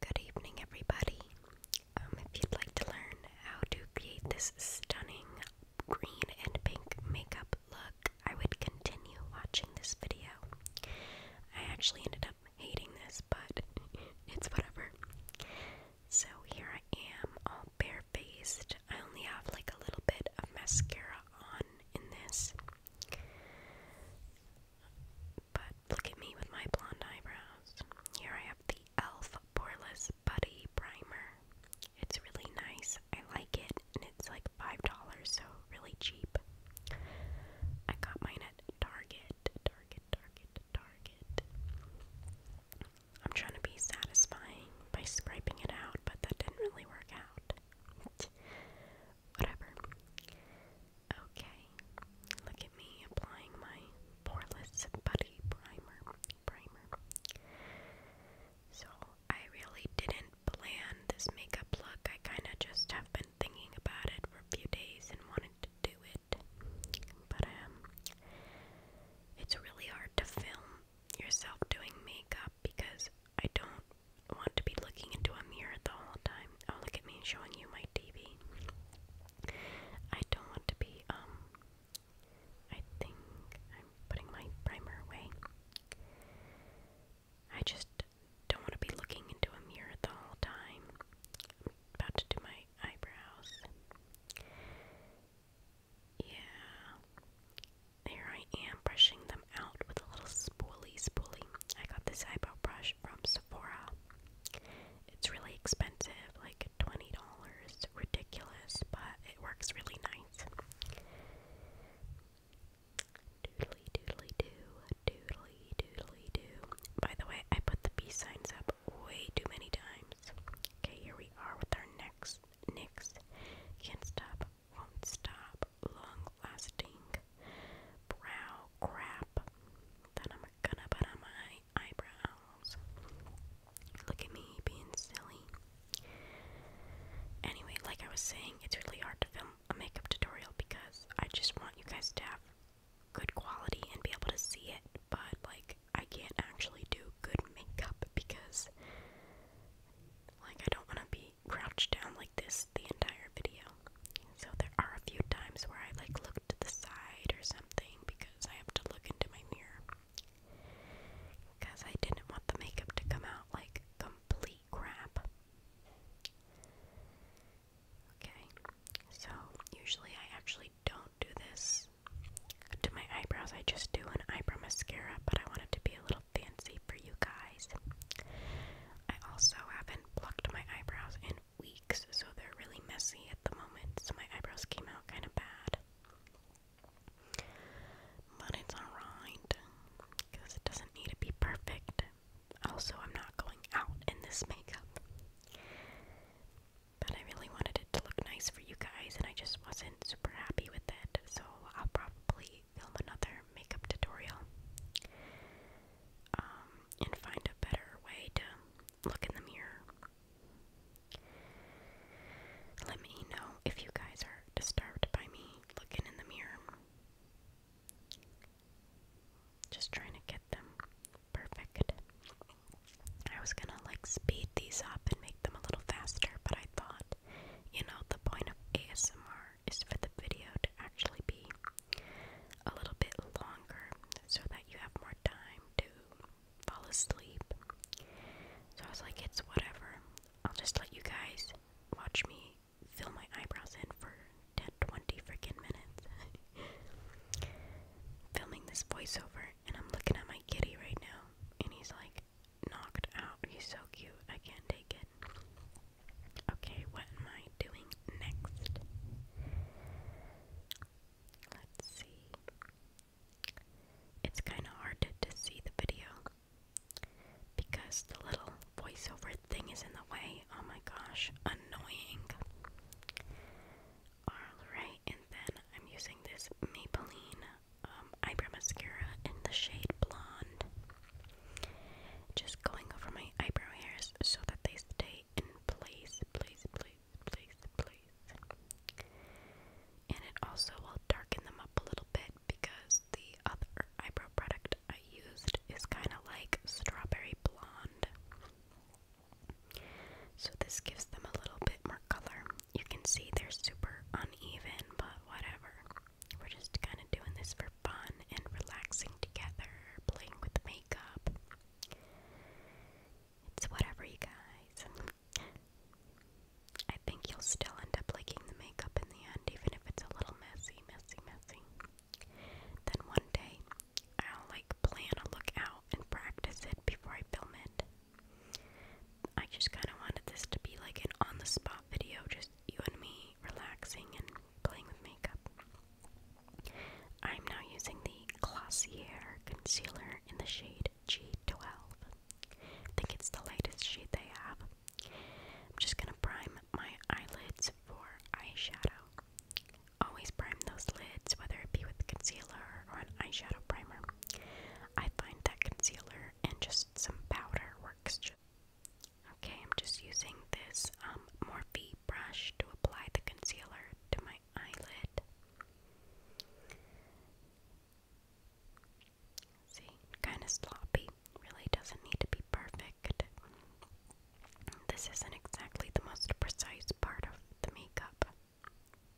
Good evening, everybody. Um, if you'd like to learn how to create this stunning green and pink makeup look, I would continue watching this video. I actually ended up hating this, but it's whatever. So here I am, all barefaced. I only have like a little bit of mascara on in this. But look at me with my blonde eyebrows. Here I have the e.l.f. Poreless Buddy Primer. It's really nice. I like it, and it's like $5, so really cheap. I got mine at Target. Target, Target, Target. I'm trying to be satisfying by scraping it out, but that didn't really work out. Whatever. Okay, look at me applying my poreless buddy primer. Primer. So I really didn't plan this makeup look. I kind of just have been thinking about it for a few days and wanted to do it, but um, it's really hard to film yourself doing makeup because I don't want to be looking into a mirror the whole time. Oh, look at me showing you my TV. I don't want to be, um, I think I'm putting my primer away. I just don't want to be looking into a mirror the whole time. about to do my eyebrows. Yeah. There I am, brushing them out with a little spoolie spoolie. I got this eyebrow brush from Sephora. It's really expensive, like $20, ridiculous, but it works really nice. Doodly doodly doo, doodly doodly doo. By the way, I put the peace signs up way too many times. Okay, here we are with our next NYX. Can't stop, won't stop, long lasting brow crap that I'm gonna put on my eyebrows. Look at me being silly. Anyway, like I was saying, it's really hard to film a makeup tutorial because I just want you guys to have good quality and be able to see it, but like I can't actually do good makeup because like I don't want to be crouched down like this the entire video. So there are a few times where I like look to the side or something because I have to look into my mirror. Because I didn't want the makeup to come out like complete crap. Okay, so usually I actually don't do this to my eyebrows. I just do an eyebrow mascara, but I want it to be a little fancy for you guys. I also haven't plucked my eyebrows in weeks, so they're really messy at the moment. So my eyebrows came out kind of bad. But it's alright, because it doesn't need to be perfect. Also, I'm not going out in this makeup. But I really wanted it to look nice for you guys, and I just wasn't super happy with it. So I'll probably film another makeup tutorial. Um, and find a better way to look in the mirror. Let me know if you guys are disturbed by me looking in the mirror. Just trying to get them perfect. I was gonna like speed these up and make them a little faster, but I thought, you know, the point of ASMR is for the video to actually be a little bit longer so that you have more time to fall asleep. So I was like, it's whatever. I'll just let you guys watch me fill my eyebrows in for 10 20 freaking minutes. Filming this voiceover, and I'm looking at my kitty right now, and he's like knocked out. He's so cute. I can't take it. Okay, what am I doing next? Let's see. It's kind of hard to, see the video because the little voiceover thing is in the way. Oh my gosh, annoying. Alright, and then I'm using this Maybelline um, eyebrow mascara in the shade Blonde. Just going over my eyebrow hairs so that they stay stay please, please, please, please. And it also will darken them up a little bit because the other eyebrow product I used is kind of like strawberry blonde. So this gives them a little bit more color. You can see they're super uneven, but whatever. We're just kind of doing this for fun and relaxing together, playing with makeup. It's whatever, you guys. I think you'll still end up liking the makeup in the end, even if it's a little messy, messy, messy. Then one day, I'll like plan a look out and practice it before I film it. I just kind of wanted this to be like an on the spot video, just you and me relaxing and playing with makeup. I'm now using the Glossier concealer in the shade G12. I think it's the lightest shade they have. I'm just gonna prime my eyelids for eyeshadow. Always prime those lids, whether it be with concealer or an eyeshadow primer. I find that concealer and just some powder works. Okay, I'm just using this um, Morphe brush to apply the concealer to my eyelid. See, kind of sloppy. Really doesn't need to be perfect. This isn't exactly the most precise part of the makeup.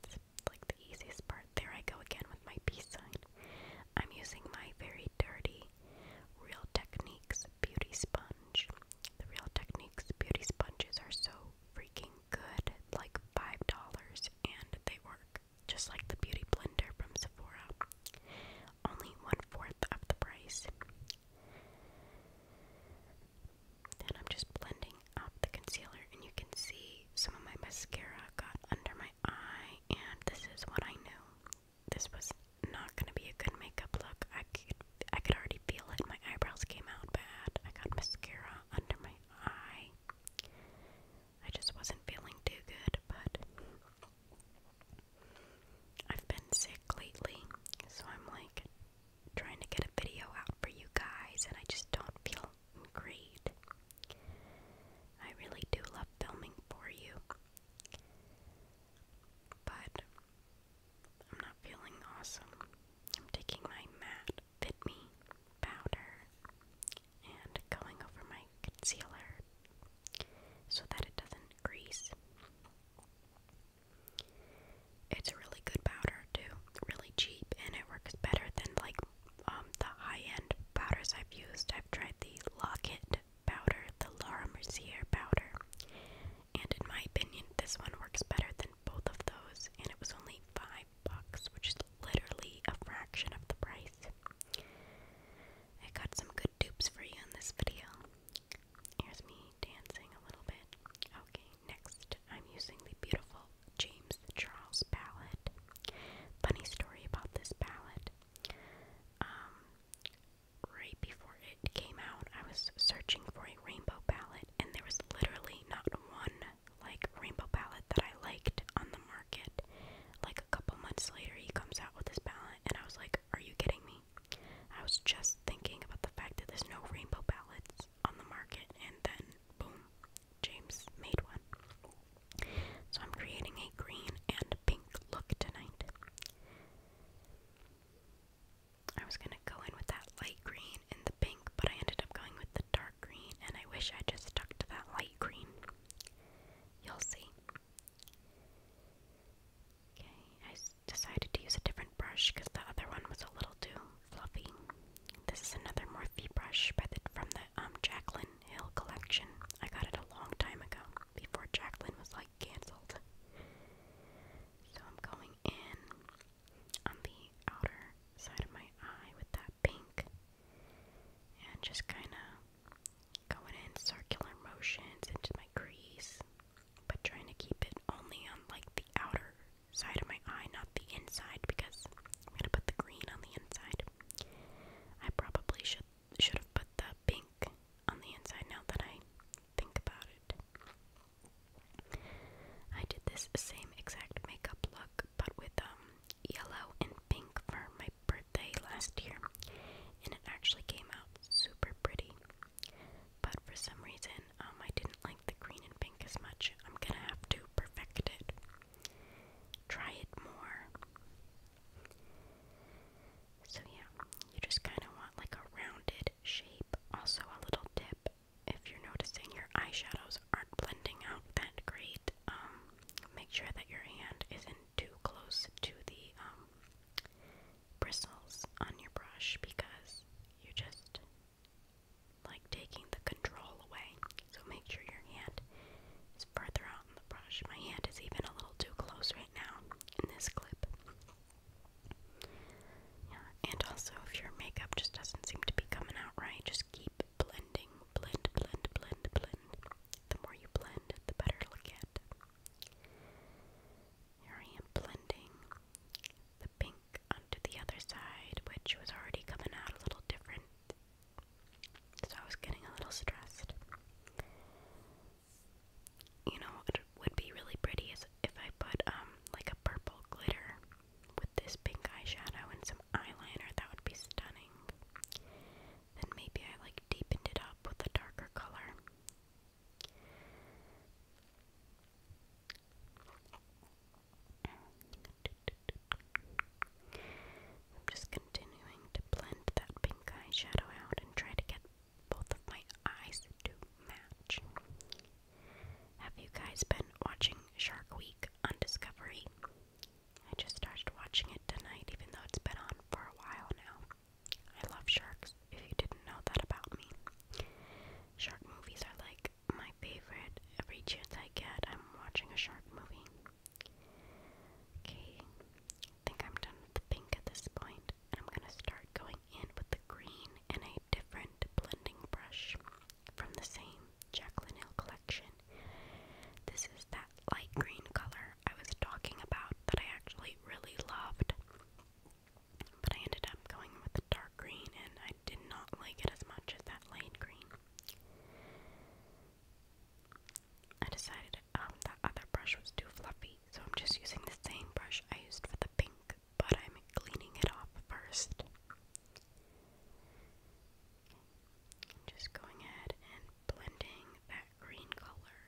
It's like the easiest part. There I go again with my B side. I'm using my very dirty Real Techniques Beauty Sponge the Real Techniques beauty sponges are so freaking good, like $5, and they work just like the beauty blender from Sephora. Only one fourth of the price. Then I'm just blending up the concealer, and you can see some of my mascara got under my eye, and this is what I knew. This was not going to be a good makeup look. I could I could already feel it. My eyebrows came out bad. I got mascara under my eye. I just wasn't feeling too good, but I've been sick lately, so I'm like trying to get a video out for you guys, and I just don't feel great. I really do love filming for you, but I'm not feeling awesome. I'm taking my Matt Fit Me powder and going over my concealer so that it doesn't grease. It's a really good powder too, really cheap, and it works better than like um, the high-end powders I've used. I've tried the Locket powder, the Laura Mercier powder, and in my opinion, this one works better than both of those, and it was only five bucks, which is literally a fraction of the price. I got some good dupes for you in this video. Here's me dancing a little bit. Okay, next I'm using the beautiful James Charles palette. Funny story about this palette. Um, right before it came out, I was searching for a rainbow palette and there was literally not one like rainbow palette that I liked on the market. Like a couple months later, he comes out with his palette, and I was like, Are you kidding me? I was just thinking about the fact that there's no rainbow palettes on the market, and then boom, James made one. So I'm creating a green and pink look tonight. I was gonna go in with that light green and the pink, but I ended up going with the dark green, and I wish I just stuck to that light green. You'll see. Okay, I decided to use a different brush because the other one was a little too fluffy. This is another Morphe brush by from the um, Hill collection. I got it a long time ago, before Jaclyn was like cancelled. So I'm going in on the outer side of my eye with that pink and just kind of going in circular motions into my crease, but trying to keep it only on like the outer side of my eye, not the inside, because I'm gonna put the green on the inside. I probably should should have put the pink on the inside now that I think about it. I did this same exact makeup look, but with um yellow and pink for my birthday last year, and it actually came out super pretty. But for some reason, um, I didn't like the green and pink as much. I'm gonna have to perfect it. Try it more. So, yeah, you just kind of want like a rounded shape. Also, a little dip if you're noticing your eyeshadows aren't blending out that great, um, make sure that your hand isn't too close to the um, bristles on your brush because you're just like taking the control away. So make sure your hand is further out in the brush. My hand is even a little too close right now in this clip. Yeah, and also if your makeup just doesn't seem to be coming out right, just keep blending. Blend, blend, blend, blend. The more you blend, the better it'll get. Here I am blending the pink onto the other side, which was already coming out a little different. So I was getting a little stressed. You know, would be really pretty if I put um like a purple glitter with this pink eyeshadow and some eyeliner. That would be stunning. Then maybe I like deepened it up with a darker color. I'm just continuing to blend that pink eyeshadow out and try to get both of my eyes to match. Have you guys been watching Shark Week on Discovery? I just started watching it tonight, even though it's been on for a while now. I love sharks, if you didn't know that about me. Shark movies are like my favorite. Every chance I get, I'm watching a shark movie. Okay, I think I'm done with the pink at this point, and I'm gonna start going in with the green, and I different blending brush from the same Jaclyn Hill collection. This is that light green color I was talking about that I actually really loved, but I ended up going with the dark green and I did not like it as much as that light green. I decided um, that other brush was too fluffy, so I'm just using the same brush I used for the pink but I'm cleaning it off 1st just going ahead and blending that green color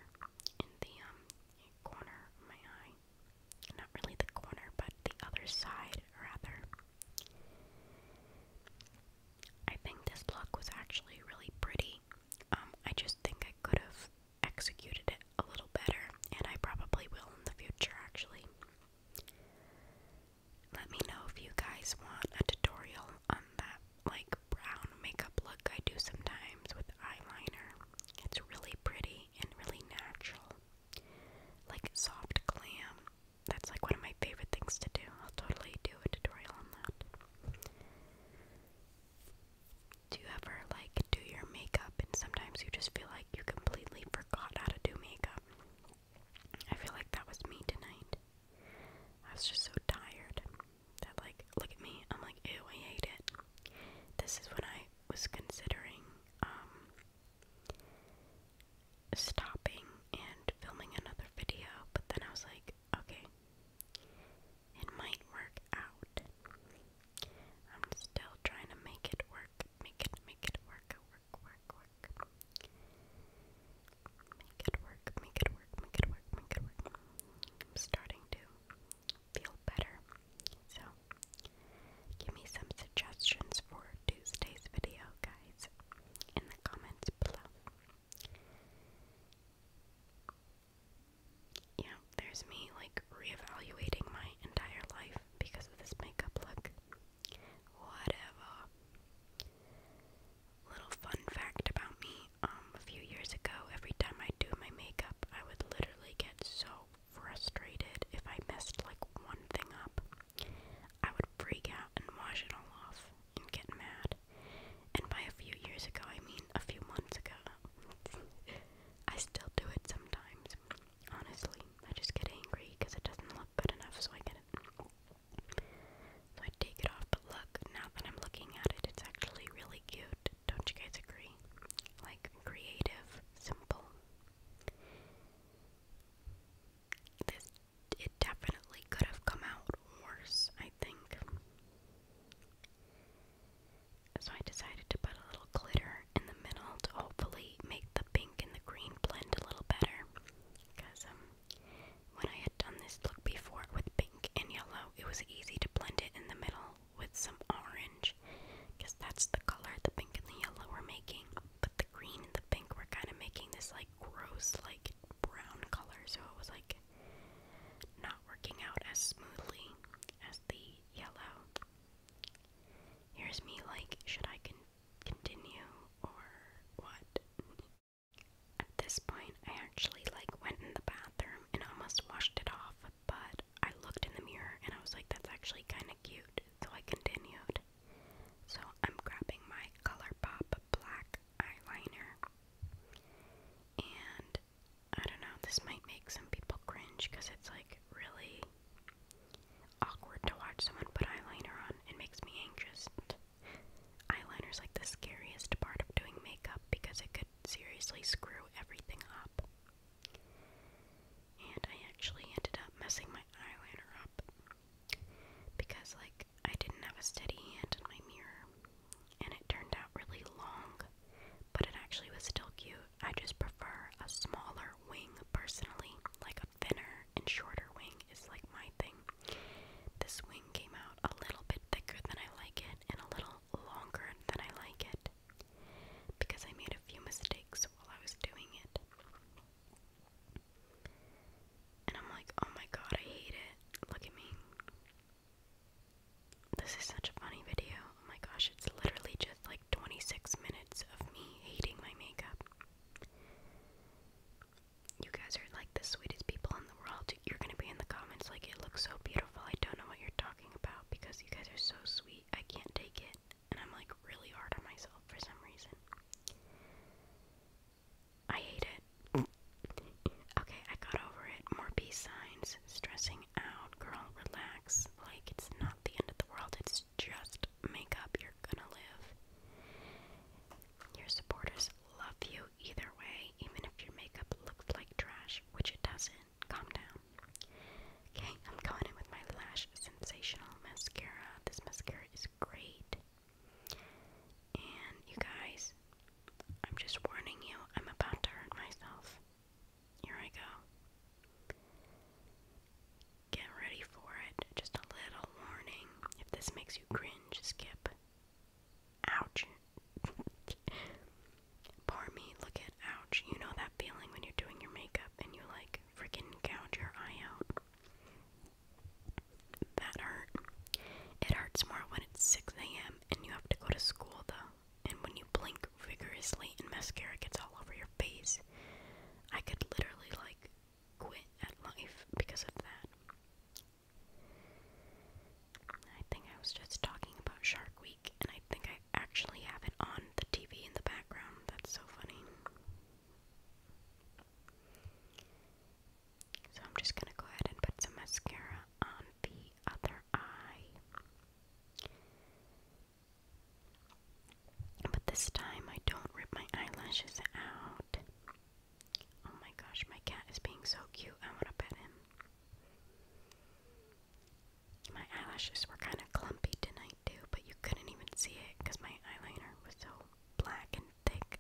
in the um corner of my eye. Not really the corner, but the other side rather. I think this look was actually really pretty. Um, I just think I could have executed it a little better, and I probably will in the future actually. Let me know if you guys want a tutorial on that like brown makeup look I do sometimes with eyeliner. It's really pretty and really natural. Like soft glam. That's like one of my favorite things to do. I'll totally do a tutorial on that. Do you ever like do your makeup? and sometimes you just feel like you completely forgot how to do makeup. I feel like that was me tonight. I was just so tired that, like, look at me. I'm like, ew, I hate it. This is when I was considering um, stopping and filming another video, but then I was like, okay, it might work out. I'm still trying to make it work make it, make it work, work, work, work. Make it work, make it work, make it work, make it work. I'm starting to feel better. So, give me some suggestions for Tuesday's video, guys, in the comments below. Yeah, there's me like reevaluating my entire life because of this makeup look. Whatever. Little fun fact about me, um, a few years ago, every time I do my makeup, I would literally get so frustrated if I messed like one thing up. I would freak out and wash it all off and get mad. And by a few years ago, I mean a few months ago. I still do it sometimes. Honestly, I just get angry because it doesn't look good enough, so I get it. So I take it off, but look, now that I'm looking at it, it's actually really cute. Don't you guys agree? Like, creative, simple. This, it definitely could have come out worse, I think. So I decided to put a little glitter in the middle to hopefully make the pink and the green blend a little better. Because um, when I had done this look before with pink and yellow, it was easy to blend it in the middle with some orange. Because that's the color the pink and the yellow were making. But the green and the pink were kind of making this like gross, like brown color. So it was like not working out as smoothly as the yellow. Here's me like, should I continue? continue or what. At this point, I actually like went in the bathroom and almost washed it off, but I looked in the mirror and I was like, that's actually kind of cute, so I continued. So I'm grabbing my ColourPop black eyeliner, and I don't know, this might make some people cringe because it's like really awkward to watch someone put eyeliner on. It makes me anxious. Eyeliner's like the scariest part of doing makeup because it could seriously screw everything up. And I actually ended up messing my eyeliner up because, like, I didn't have a steady hand in my mirror, and it turned out really long, but it actually was still cute. I just prefer a smaller wing personally, like a thinner and shorter wing is like my thing. This wing came out a little bit thicker than I like it and a little longer than I like it because I made a few mistakes while I was doing it. And I'm like, oh my god, I hate it. Look at me. This is such a funny video. Oh my gosh, it's literally just like. 26 minutes of me hating my makeup. You guys are like the sweetest people in the world. You're gonna be in the comments like, it looks so beautiful. I don't know what you're talking about because you guys are so sweet. I can't take it. And I'm like really hard on myself for some reason. I hate it. okay, I got over it. More peace signs. Stressing out. Girl, relax. Like, it's not the end of the world. It's it's just makeup, you're gonna live. Your supporters love you either way, even if your makeup looks like trash, which it doesn't. Calm down. Okay, I'm going in with my Lash Sensational Mascara. This mascara is great. And you guys, I'm just warning you, I'm about to hurt myself. Here I go. Get ready for it. Just a little warning. If this makes you cringe, skip. Ouch. Pardon look at ouch. You know that feeling when you're doing your makeup and you like freaking gouge your eye out. That hurt. It hurts more when it's 6 a.m. and you have to go to school though. And when you blink vigorously and mascara gets all over your face, I could literally quit at life because of that. I think I was just talking about Shark Week, and I think I actually have it on the TV in the background. That's so funny. So I'm just gonna go ahead and put some mascara on the other eye. But this time I don't rip my eyelashes out. Oh my gosh, my cat is being so cute. I want to pet him. My eyelashes were kind of clumpy tonight, too, but you couldn't even see it because my eyeliner was so black and thick.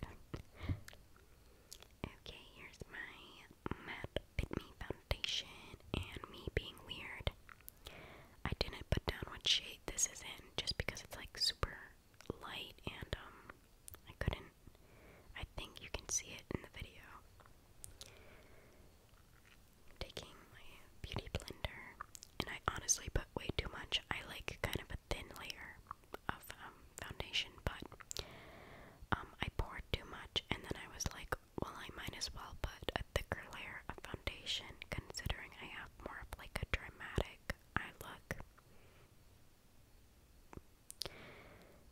okay, here's my matte Fit Me foundation and me being weird. I didn't put down what shade this is in just because it's like super light and um I couldn't I think you can see it in the video. Taking my beauty blender and I honestly put way too much. I like kind of a thin layer of um, foundation, but um I poured too much and then I was like, well I might as well put a thicker layer of foundation considering I have more of like a dramatic eye look.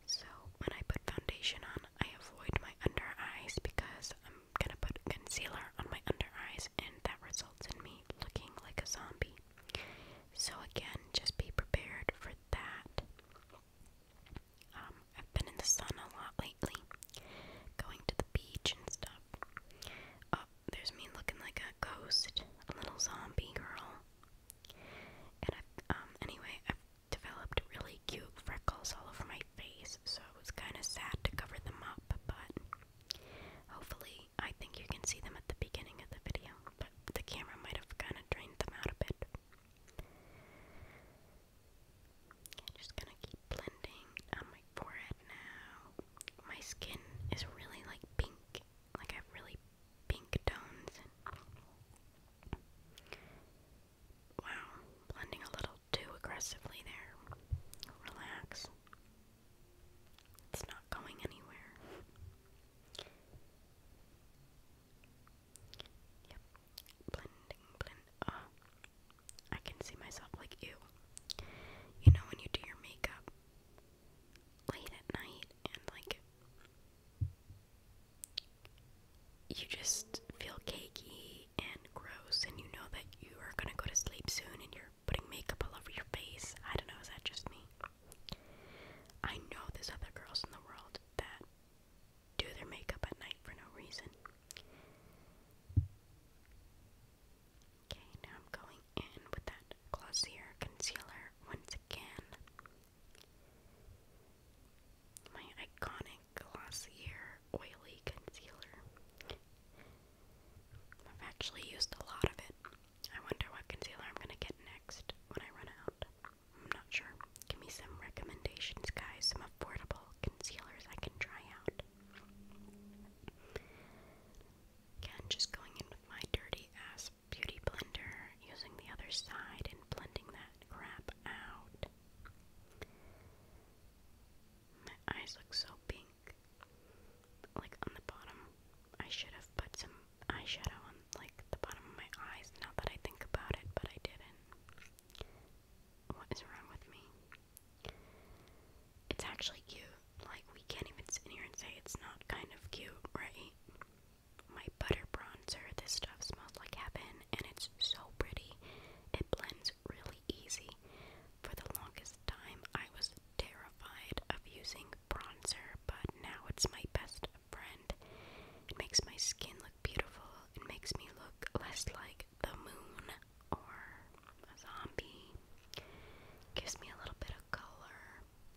So when I put foundation on, I avoid my under eyes because I'm gonna put concealer on my under eyes and that results in me looking like a zombie. So again, just be prepared for that. Um, I've been in the sun a lot lately, going to the beach and stuff. Uh, there's me looking like a ghost, a little zombie girl. And um, anyway, I've developed really cute freckles all over my face, so it's kind of sad to cover them up, but hopefully, I think you can see them at the beginning of the video, but the camera might have kind of drained them out a bit. just gonna keep blending on um, my forehead now. My skin is really like pink. Like I have really pink tones. And... Wow, blending a little too aggressively there. Relax. It's not going anywhere. Yep. Blending, blend. Oh, I can see myself like you. You know when you do your makeup late at night and like you just feel cakey and gross and you know that you are gonna go to sleep soon and you're putting makeup all over your face. I don't know, is that just me? I know there's other girls in the world that do their makeup at night for no reason. Okay, now I'm going in with that glossier concealer once again. My iconic glossier oily concealer. I've actually used a lot of it. I wonder what concealer I'm gonna get next when I run out. I'm not sure. Give me some recommendations, guys, some affordable concealers I can try out. Again, just going in with my dirty ass beauty blender, using the other side and blending that crap out. My eyes look so pink. Like on the bottom. I should have put some eyeshadow on like the bottom of my eyes now that I think about it, but I didn't. What is wrong with me? It's actually cute. Like, we can't even sit here and say it's not kind of cute, right? My butter bronzer, this stuff smells like heaven, and it's so pretty. It blends really easy. For the longest time, I was terrified of using bronzer, but now it's my best friend. It makes my skin look beautiful. It makes me look less like the moon or a zombie. Gives me a little bit of color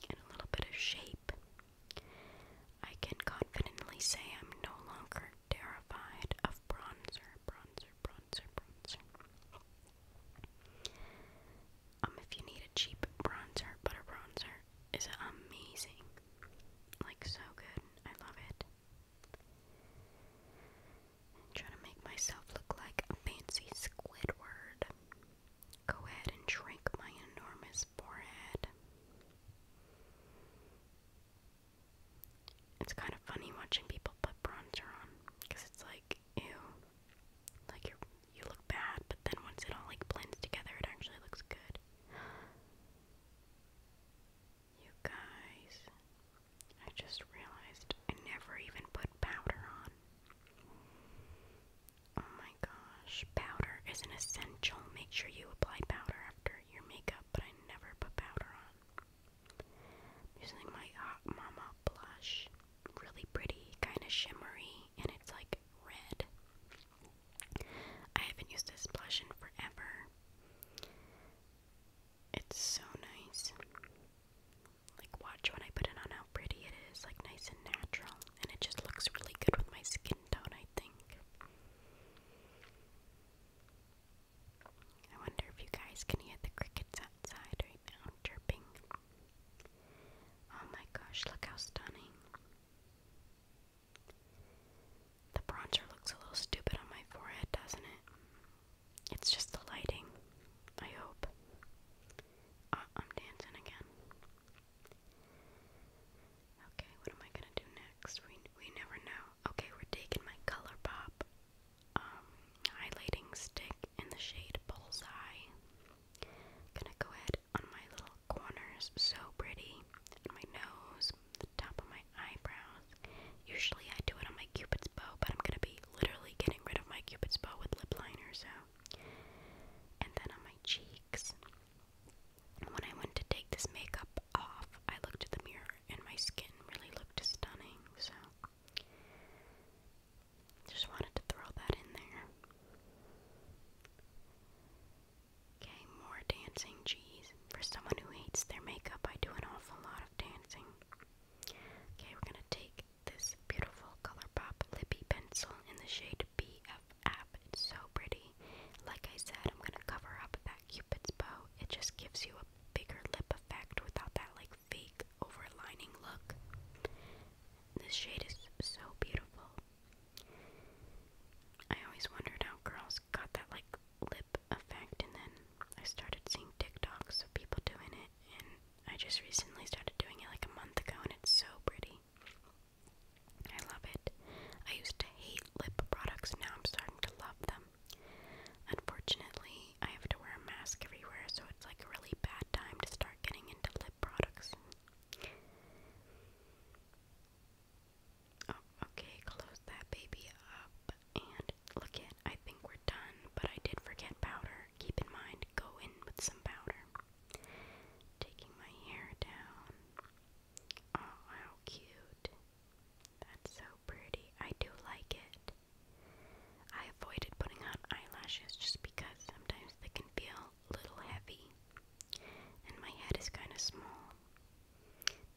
and a little bit of shape. I can confidently say I'm no longer terrified of bronzer, bronzer, bronzer, bronzer. Um, if you need a cheap bronzer, butter bronzer is amazing. Like so good. I love it trying to make myself look like a fancy Squidward. Go ahead and shrink my enormous forehead. It's kind of funny watching people put bronzer on, because it's like, ew, like you you look bad, but then once it all like blends together, it actually looks good. You guys, I just realized I never even put powder on. Oh my gosh, powder is essential. Make sure you apply powder after your makeup, but I never put powder on. using my Hot uh, Mama blush. Really pretty, kind of shimmery, and it's like red. I haven't used this blush in forever. It's so nice. Like, watch when I put it on how pretty it is, like, nice and natural. And it just looks really good with my skin tone, I think. I wonder if you guys can hear the crickets outside right now chirping. Oh my gosh, look how stunning. The bronzer looks a little stupid on my forehead, doesn't it? It's just the lighting, I hope. Uh, I'm dancing again. Okay, what am I gonna do next? We, we never know. Okay, we're taking my Color um, highlighting stick in the shade Bullseye. Gonna go ahead on my little corners, so pretty. My nose, the top of my eyebrows. Usually I do it on my Cupid's bow, but I'm gonna be literally getting rid of my cupid's bow with lip liner, so. And then on my cheeks, when I went to take this makeup off, I looked at the mirror and my skin really looked stunning, so. Just wanted to throw that in there. Okay, more dancing, geez. For someone who hates their makeup, I do an awful lot of dancing. Okay, we're gonna take this beautiful color pop lippy pencil in the shade BFF. It's so pretty. Like I said, I'm gonna cover up that cupid's bow. It just gives you a bigger lip effect without that like fake overlining look. This shade is so beautiful. I always wondered how girls got that like lip effect, and then I started seeing TikToks of people doing it, and I just recently started doing it like a month ago and it's so pretty. I love it. I used to hate lip products, now I'm starting to love them. Unfortunately, I have to wear a mask everywhere, so it's like a really bad time to start getting into lip products. Oh, okay, close that baby up and look it, I think we're done, but I did forget powder. Keep in mind, go in with some powder. Taking my hair down. Oh, how cute. That's so pretty. I do like it. I avoided putting on eyelashes just because sometimes they can feel a little heavy. And my head is kind of small.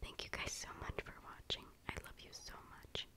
Thank you guys so much for watching. I love you so much.